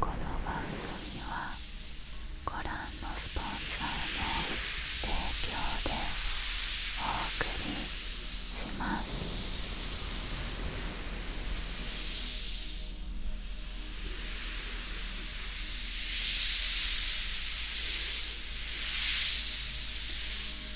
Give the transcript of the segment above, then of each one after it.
この番組はご覧のスポンサーの提供でお送りします。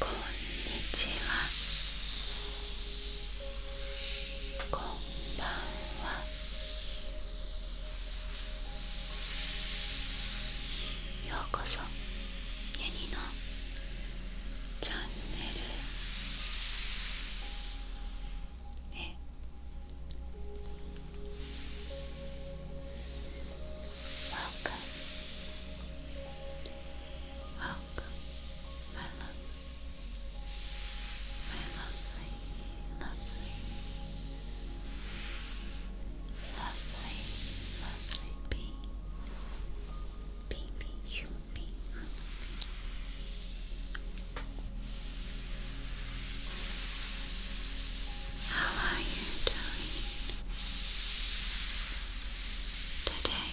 こんにちはこんばんはようこそユニのチャンネルへ Welcome. Welcome, my love. My lovely, lovely, lovely, lovely bee. Baby, human how are you doing today?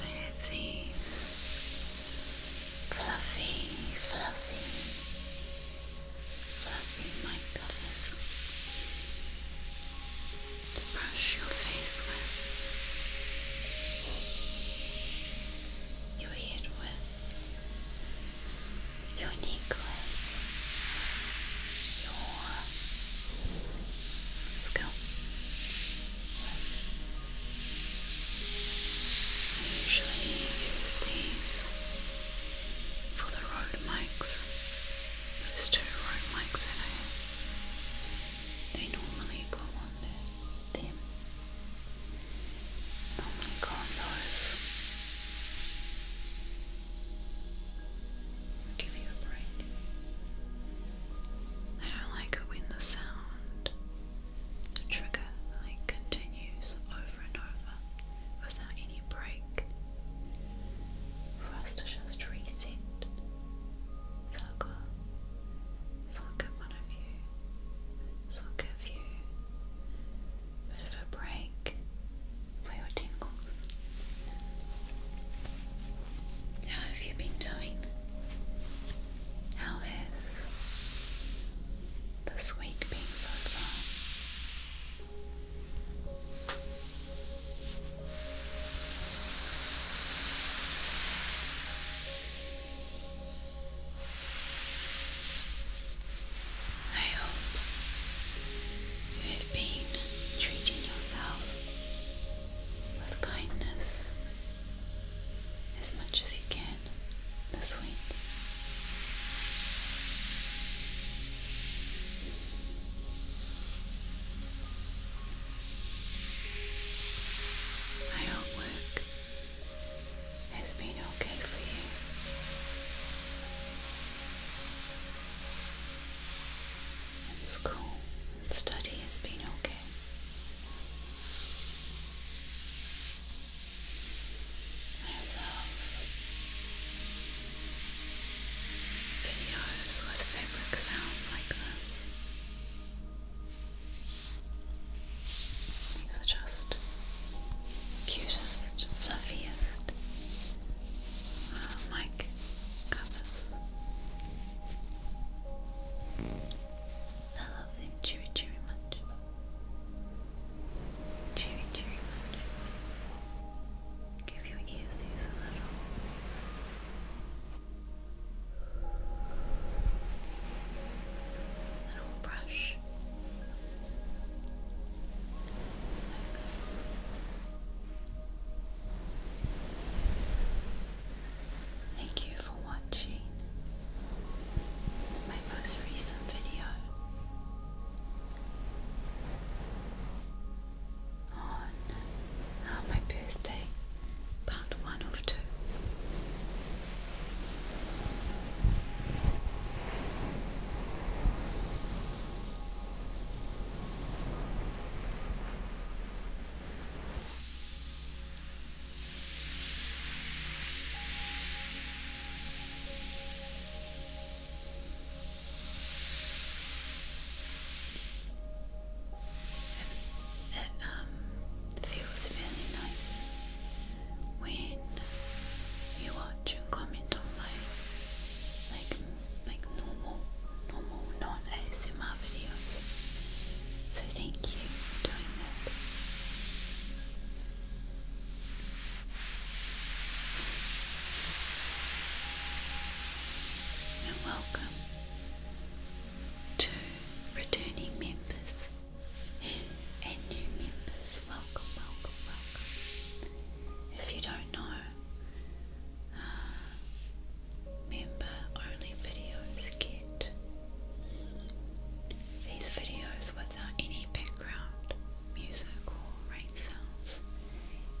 I have these fluffy, fluffy, fluffy mic to brush your face with. Your head with unique way your scalp I usually use these for the road mics those two road mics that I they normally go on there Sì. Non mi I don't like when the sound, the like continues over and over without any break. For us to just reset. So i so i one of you this give you a bit of a break for your tingles. How have you been doing? How this week being so far? I hope you have been treating yourself with kindness as much as you can this week. I hope it has been okay for you. And school study has been okay. I love videos with fabric sounds like this. These are just cutest, fluffiest uh, mic covers. I love them cheery, cheery much. Cheery, cheery much. Give your ears a little little brush. Thank you for watching my most recent video on uh, my birthday one of two. Um, it, feels really nice when you watch and comment on my like like normal normal non ASMR videos. So thank you for doing that. And welcome to returning members and new members. Welcome, welcome, welcome. If you don't know, uh, member only videos get these videos without any background music or rain sounds,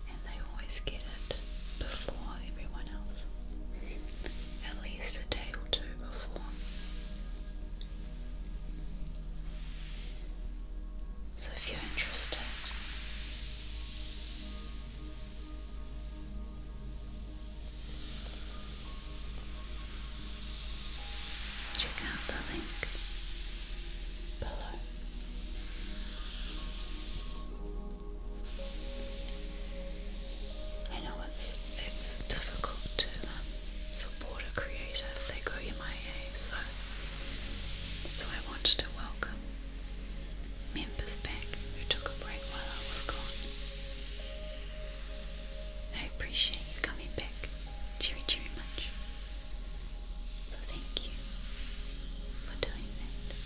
and they always get it before everyone else at least a day or two before. So if you're interested, check out the link below. I know it's it's difficult to um, support a creator if they go MIA, eh? so so I wanted to welcome members back who took a break while I was gone. I appreciate you coming back very, very much. So thank you for doing that.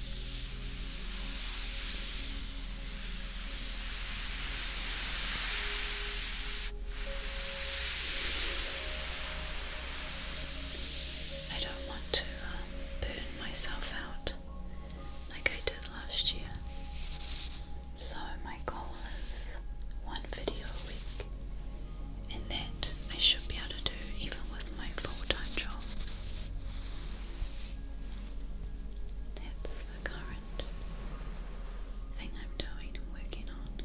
I don't want to um, burn myself out like I did last year. So, my goal is one video a week, and that I should be able to do even with my full time job. That's the current thing I'm doing and working on.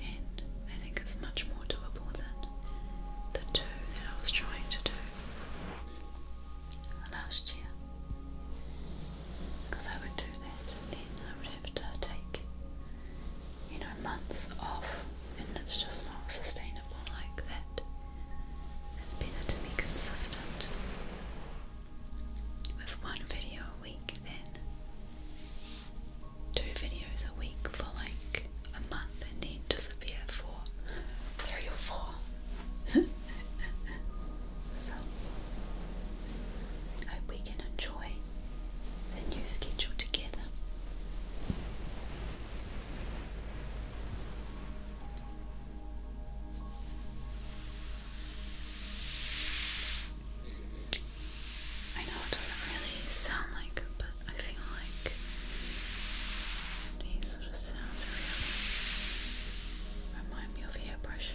And I think it's much more doable than the two that I was trying to do last year. Because I would do that then I would have to take, you know, months off and it's just not sustainable like that. It's better to be consistent with one video a week then two videos a week for like a month and then disappear for three or four. so, I hope we can enjoy the new schedule together. I know it doesn't really sound like but I feel like these sort of sounds really remind me of airbrushing.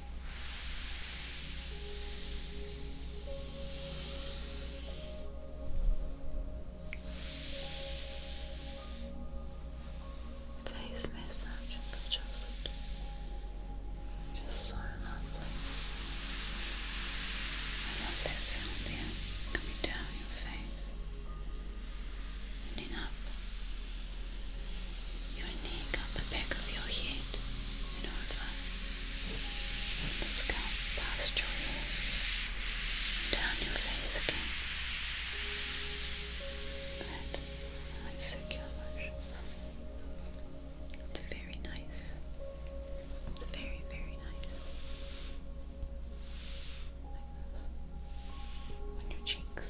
Face massage of the Just so lovely. I love that sound there coming down your face and up your neck, on the back of your head, over the scalp, past your ears, down your face again. That nice circular motions. It's very nice. It's very, very nice. On your cheeks.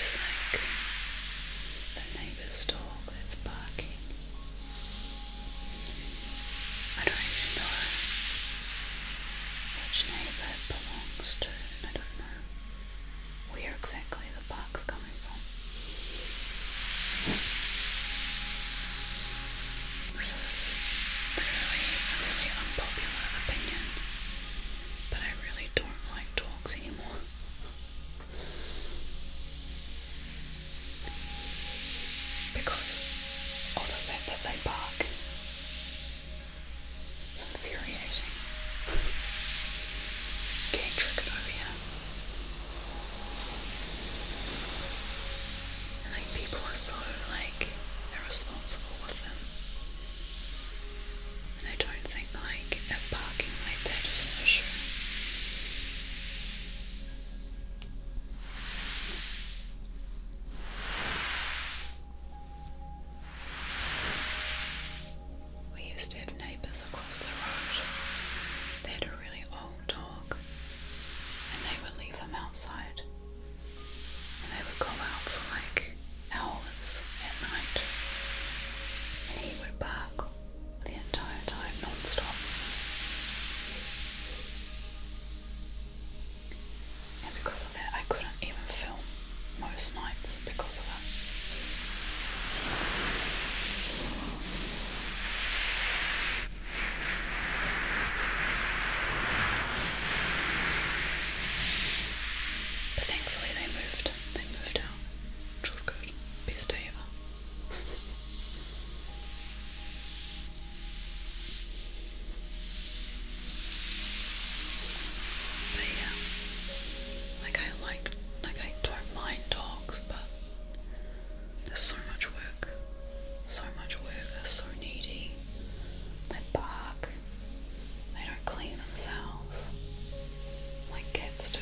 It's like the neighbour's dog that's barking. I don't even know which neighbour it belongs to, I don't know where exactly this is a really unpopular opinion, but I really don't like dogs anymore. Because of the fact that they bark. It's infuriating. Getting triggered over here. like people are so like irresponsible with them. And I don't think like a parking like that is an issue. We used to have neighbours across the road. They had a really old dog, and they would leave him outside. And they would come out for like hours at night, and he would bark the entire time, non-stop. because because I couldn't even film most nights because of that. But thankfully they moved. They moved out, which was good. Best day ever. But yeah, like I like, like I don't mind dogs, but there's so much work, so much work. They're so needy. They bark. They don't clean themselves like cats do.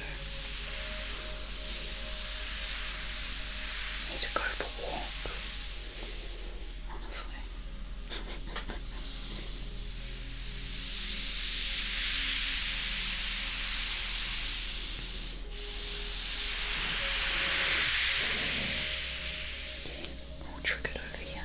need to go for walks. Honestly, Okay, I'll trick it over here.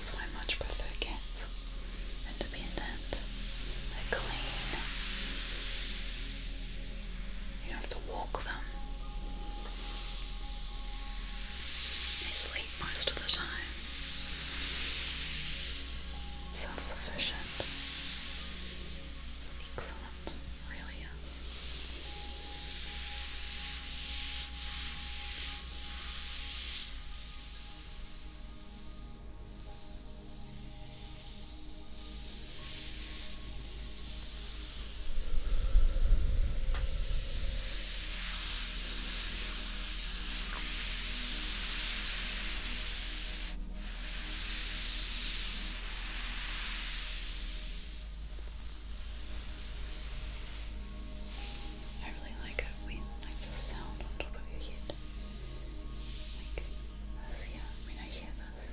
So I much prefer cats, independent, they're clean, you have to walk them, they sleep most of the time, self-sufficient, excellent really am. Good. I really like it when like the sound on top of your head. Like this, yeah, when I hear this.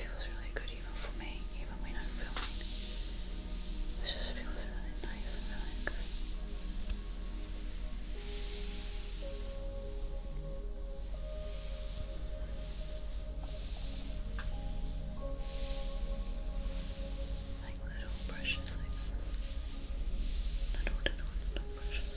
feels really good even for me, even when I'm filming. This just feels really nice and really good. Like little brushes like this. Not old and old, not brushes. Good.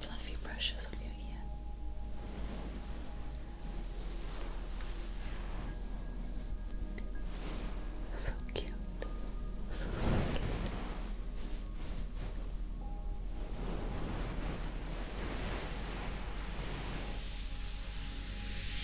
fluffy brushes on your ear. So cute. So, so cute.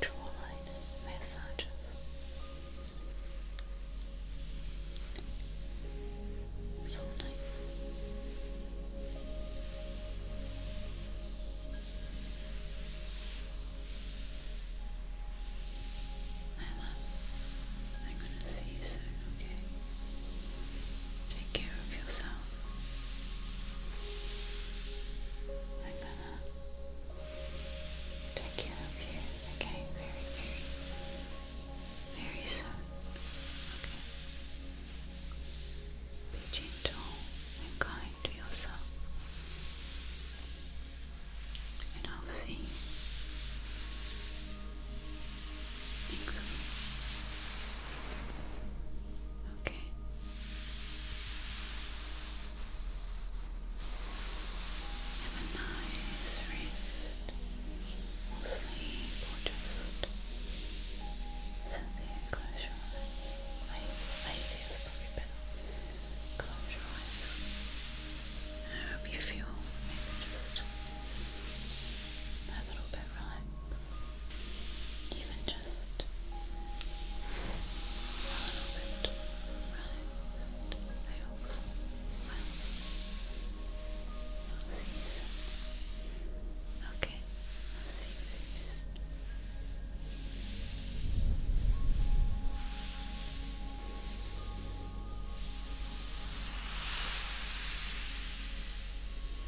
Jawline massages. So nice. I love. I'm gonna see you soon, okay? Take care of yourself. I'm gonna take care of you again very, very, very soon. Okay. Be gentle and kind to yourself. And I'll see you next Okay. Have a nice rest. Or sleep or just sit close your eyes. Lay, lay there is probably better. Close your eyes. I hope you feel maybe just a little bit relaxed even just a little bit relaxed. I hope so. I'll see you soon. Okay, I'll see you soon.